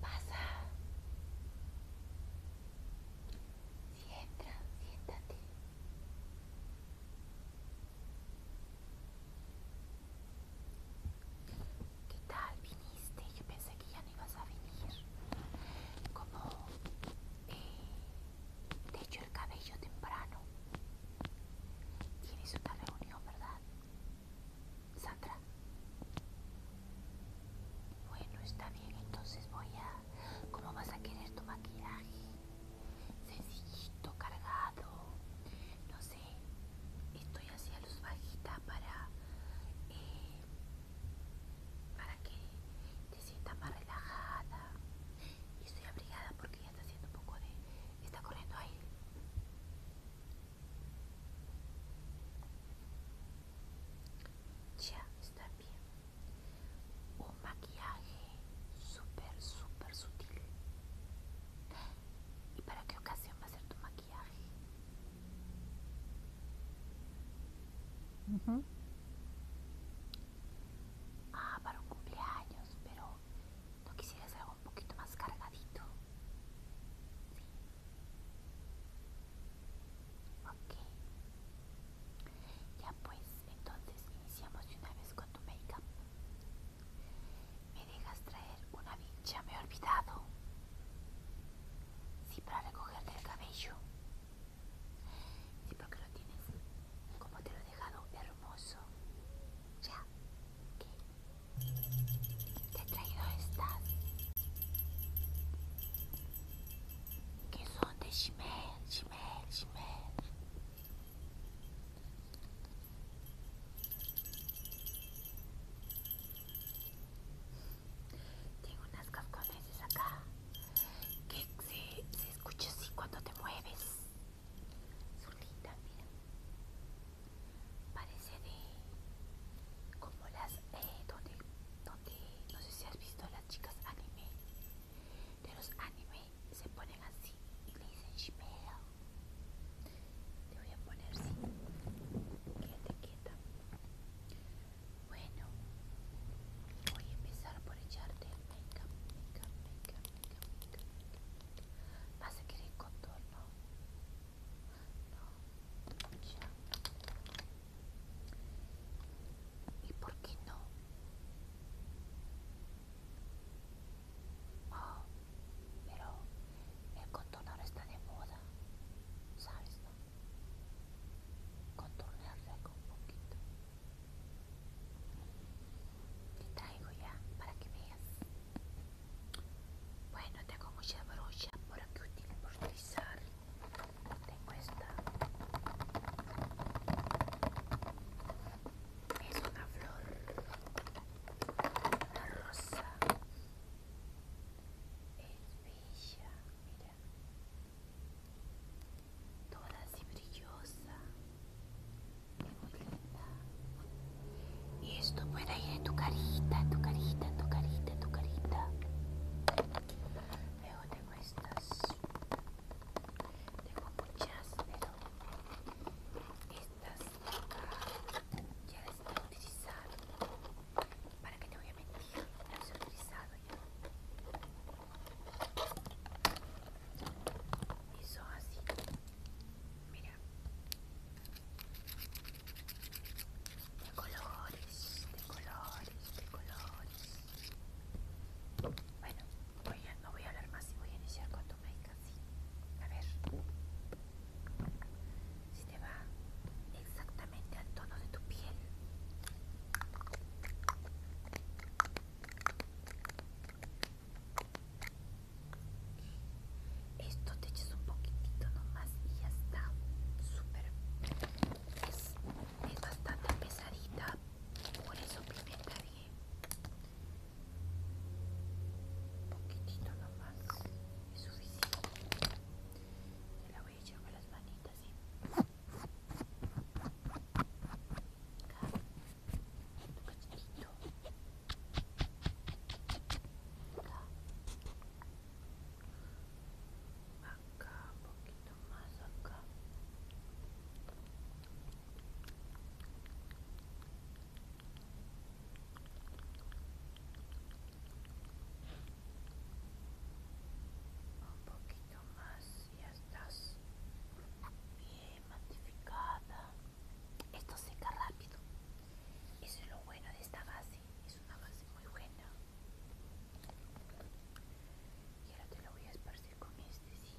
Pasa. Siéntate, siéntate. ¿Qué tal? Viniste, yo pensé que ya no ibas a venir. Como eh, te echo el cabello temprano. Tienes otra reunión, ¿verdad? Sandra. Bueno, está bien, entonces voy a ¿Cómo vas a querer tu maquillaje? Sencillito, cargado. No sé, estoy haciendo los bajita para, eh, para que te sientas más relajada. Y estoy abrigada porque ya está haciendo un poco de... está corriendo ahí Ya, está bien un maquillaje super, súper sutil y para qué ocasión va a ser tu maquillaje ah para un cumpleaños pero no quisieras algo un poquito más cargadito sí ok ya pues, entonces iniciamos una vez con tu make-up. Me dejas traer una bicha, me he olvidado. Sí, para recogerte el cabello. Sí, porque lo tienes como te lo he dejado hermoso. Ya, ¿qué? Te he traído estas. Que son de tengo unas capcones acá que se, escucha así cuando te mueves. lindas, mira. Parece de como las eh, donde, no sé si has visto las chicas anime de los anime se ponen así y le dicen Te voy a poner sí. Quédate quieta. Bueno, voy a empezar por echarte el make-up, make-up, make-up, make-up, make-up. vas a querer contorno? No, ¿Y por qué no? Oh, pero el contorno está de moda, ¿sabes? No? con un poquito. Te traigo ya para que veas. Bueno, tengo mucha brocha, por que utilizar. Tengo esta. Es una flor. Una rosa. Es bella, mira. Toda así brillosa. Es muy linda. Y esto puede ir en tu carita, en tu carita, en tu carita, en tu carita estas tengo muchas pero estas ya las he utilizado para que te voy a mentir las he utilizado ya y son así mira de colores, de colores, de colores. Bueno, no voy a hablar más y voy a iniciar con tu make A ver. Si te va exactamente al tono de tu piel. Esto te echas un poquitito nomás y ya está. Súper es bastante pesadita, por eso pimienta Un poquitito nomás es suficiente. Te la voy a echar con las manitas, ¿sí? Acá, un poquitito Acá, acá un poquito acá un poquito más ya estás bien matificada esto seca rápido eso es lo bueno de esta base es una base muy buena y ahora te lo voy a esparcir con este, sí.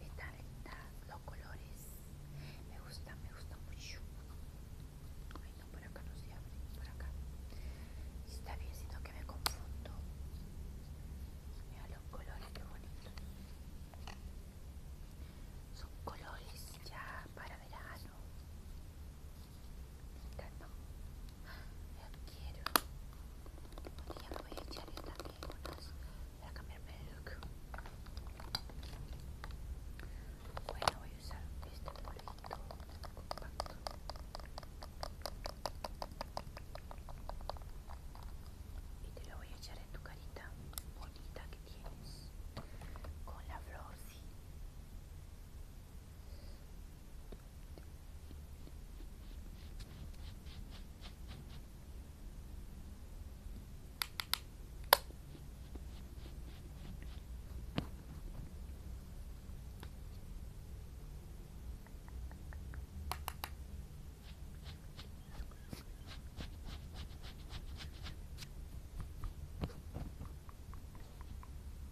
Está linda, los colores. Me gusta, me gusta mucho. Ay, no, por acá no se abre, por acá. Está bien, siento que me confundo. Mira los colores, que bonitos. Son colores ya para verano. Me encantan. me quiero. voy a echarle esta unas Voy a cambiarme de look. Bueno, voy a usar este polvito compacto. Y te lo voy a echar en tu carita bonita que tienes. Con la flor, sí.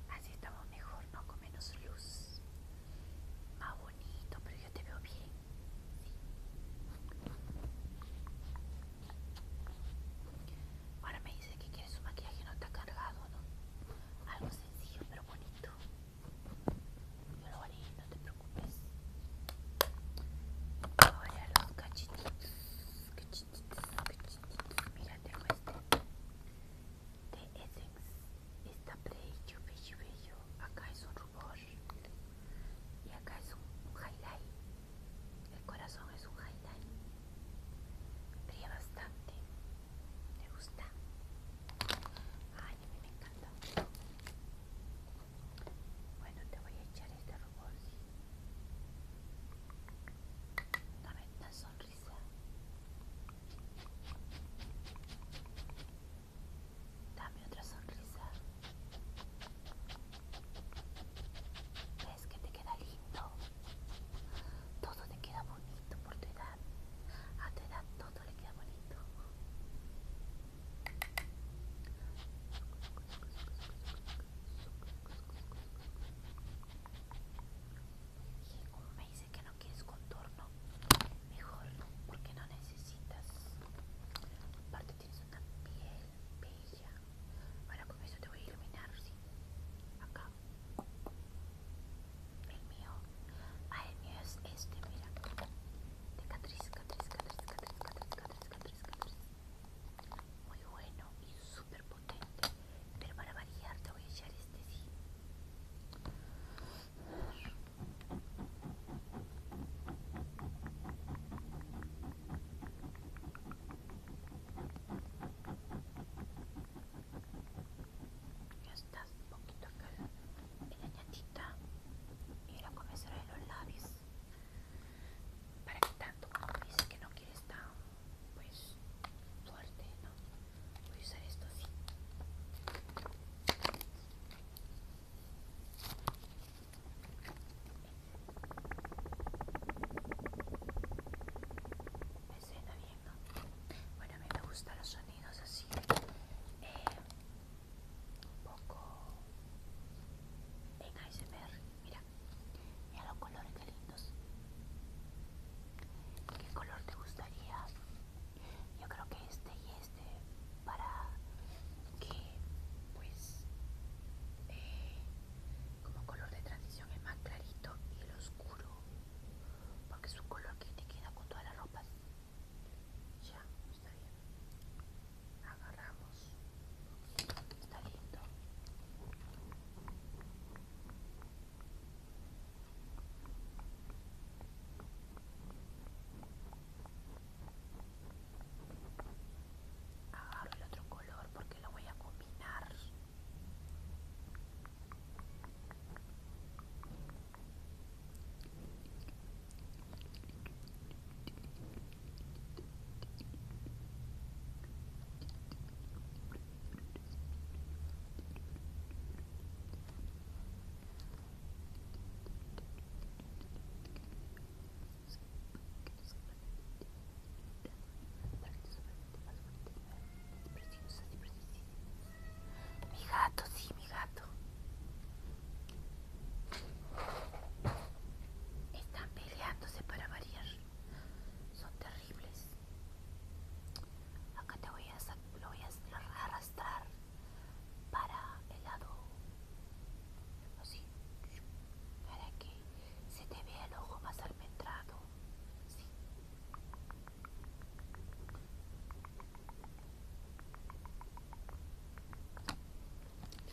Así estamos mejor, ¿no? Con menos luz más bonito, pero yo te veo bien. Ahora me dice que quieres un maquillaje no está cargado, ¿no? Algo sencillo pero bonito. Yo lo haré, no te preocupes. Ahora los cachititos cachetitos, Mira, tengo este de Essence. Está bello, bello, bello. Acá es un y acá es un, highlight. El corazón es un highlight. Brilla bastante. Me gusta. Ay, a mí me encanta. Bueno, te voy a echar este robot Dame sonrisa. Dame otra sonrisa. ¿Ves que te queda lindo? Todo te queda bonito por tu edad. A tu edad todo le queda bonito. Y como me dice que no quieres contorno, mejor porque no necesitas aparte tienes una piel bella ahora con eso te voy a iluminar ¿sí? acá el mío ah el mío es este mira de catriz catriz catriz catriz catriz catriz catriz catriz muy bueno y súper potente pero para variar te voy a echar este sí ya está un poquito acá en la ñatita y ahora comenzaré los labios para que tanto dice que no quieres estar pues fuerte, ¿no? Voy a usar esto así. Me bien, Bueno, a mí me gustan los sonidos así, eh, un poco en ASMR. Mira, mira los colores que lindos. ¿Qué color te gustaría yo creo que este y este para que pues eh, como color de transición es más clarito y el oscuro porque es un color que te queda con todas las ropas ya está bien agarramos está lindo Agarro el otro color porque lo voy a combinar. Mi gato, sí, mi gato. Están peleándose para variar. Son terribles. Acá te voy a, lo voy a arrastrar para el lado así para que se te vea el ojo más almendrado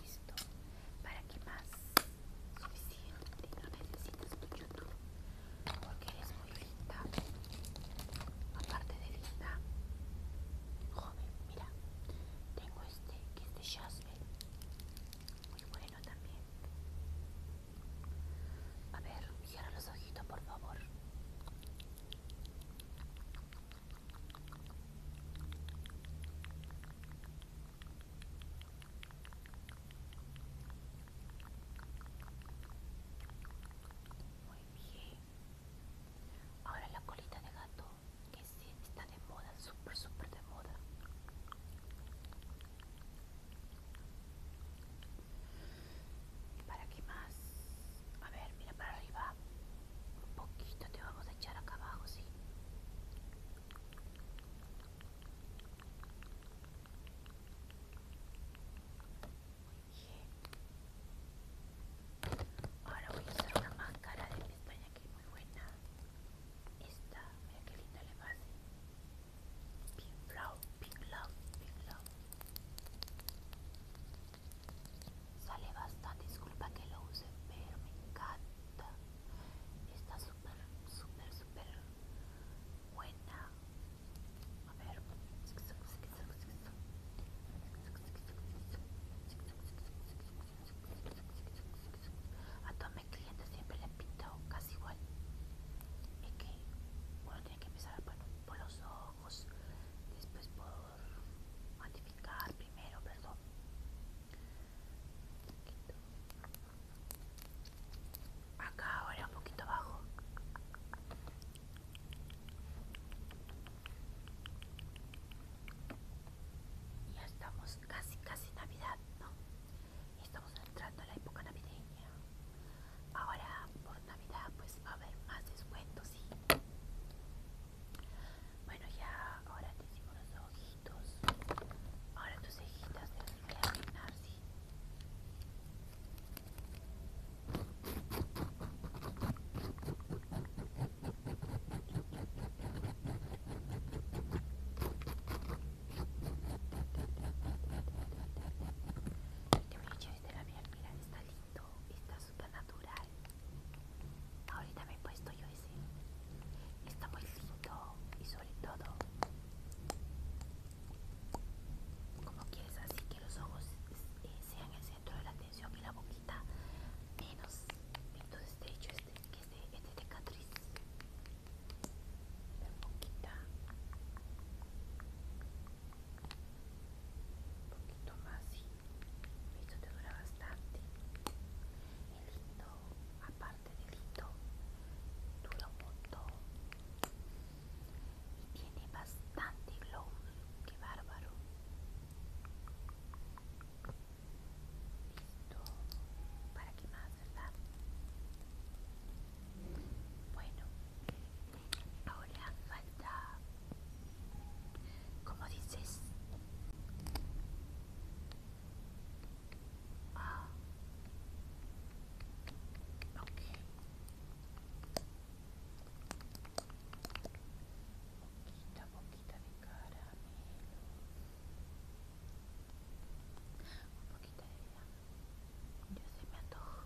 listo para que más suficiente no necesitas mucho porque eres muy aparte de linda, joven, mira, tengo este que es de muy bueno también. A ver, cierra los ojitos, por favor. Muy bien. Ahora la colita de gato, que sí está de moda, súper, súper de moda. ¿Para qué más? A ver, mira para arriba. Un poquito te vamos a echar acá abajo, sí. Ahora voy a usar una máscara de mi España que es muy buena. Esta, mira que linda le pasa Pink love Pink love, Pink love. Sale bastante, disculpa que lo use, pero me encanta. Está súper, súper, súper buena a ver. A todos mis clientes siempre les pinto casi igual. Es que uno tiene que empezar por los ojos, después por modificar primero, perdón. Acá ahora un poquito abajo. Ya estamos casi, casi Navidad, ¿no? Estamos entrando a la época navideña. Ahora por Navidad pues va a haber más descuentos, sí. Bueno, ya ahora te hicimos los ojitos. Ahora tus cejitas deben relaminar, sí. Este brillo es de la piel, está lindo, está super natural. Ahorita me he puesto yo ese. Está muy lindo y sobre todo como quieres así que los ojos eh, sean el centro de la atención y la boquita menos entonces de hecho este que es de, este, este la boquita un poquito más sí. esto te dura bastante el lindo aparte del lindo dura un montón tiene bastante glow que bárbaro. Listo, para qué más, ¿verdad? Bueno, ahora falta, como dices, ah, un un poquito de caramelo. Un poquito de vida. Yo se me antojo.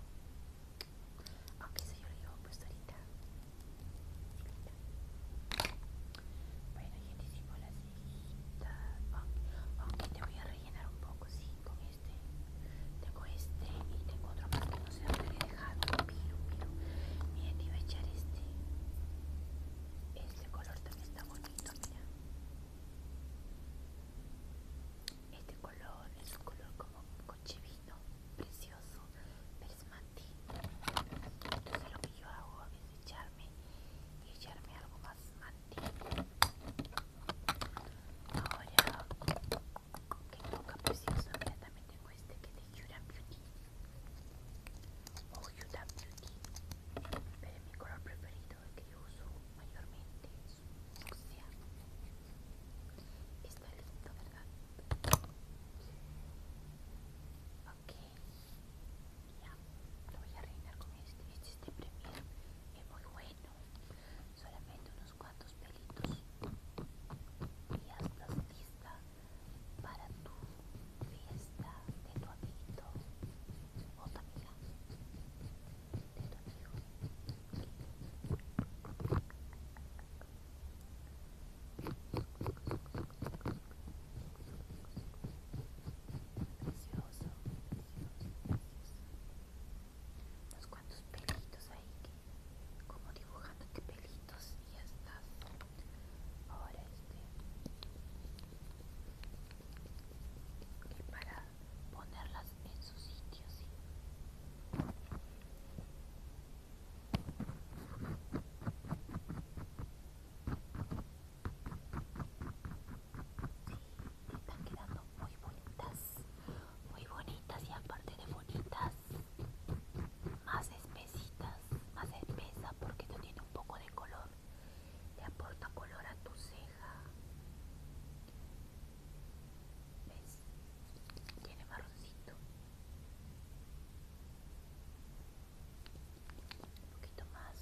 Aunque eso yo lo llevo puesto ahorita. Bueno, gente, hicimos la cejita. Aunque te voy a rellenar un poco, así. con tengo este y tengo otro más que no sé dónde le dejado. Miro, miro. Miren, voy a echar este. Este color también está bonito, mira. Este color es un color como coche vino, precioso, pero es mate. Entonces lo que yo hago es echarme y echarme algo más mate. Ahora que nunca preciosa. Mira, también tengo este que es de Yuda Beauty. O oh, Huda Beauty. Pero mi color preferido, el que yo uso mayormente, es Está lindo, ¿verdad? Ok. Ya. Lo voy a rellenar con este. Este es Es muy bueno. Solamente unos Cuántos cuantos pelitos y ya estás lista para tu fiesta de tu amiguito o tu amiga de tu amigo unos cuantos pelitos ahí que como dibujándote pelitos y ya estás ahora este para ponerlas en su sitio están quedando muy bonitas muy bonitas y aparte de bonitas más espesitas más espesa porque esto tiene un poco de color Te aporta color a tu ceja ves tiene marroncito un poquito más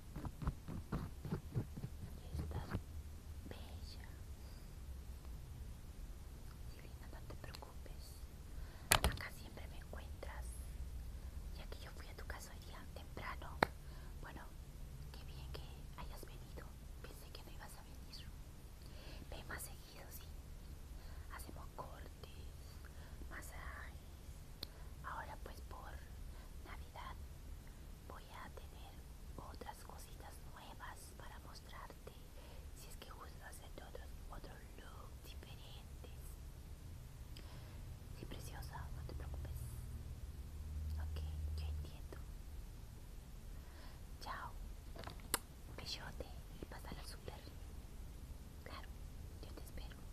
y estás bella linda no te preocupes acá siempre me encuentras ya que yo fui a tu casa hoy día temprano bueno qué bien que hayas venido pensé que no ibas a venir ven más seguido sí hacemos cortes masajes ahora pues por navidad voy a tener otras cositas nuevas para mostrarte si es que gustas hacerte otros otros looks diferentes sí preciosa no te preocupes ok yo entiendo chao un bellote y pásala súper claro yo te espero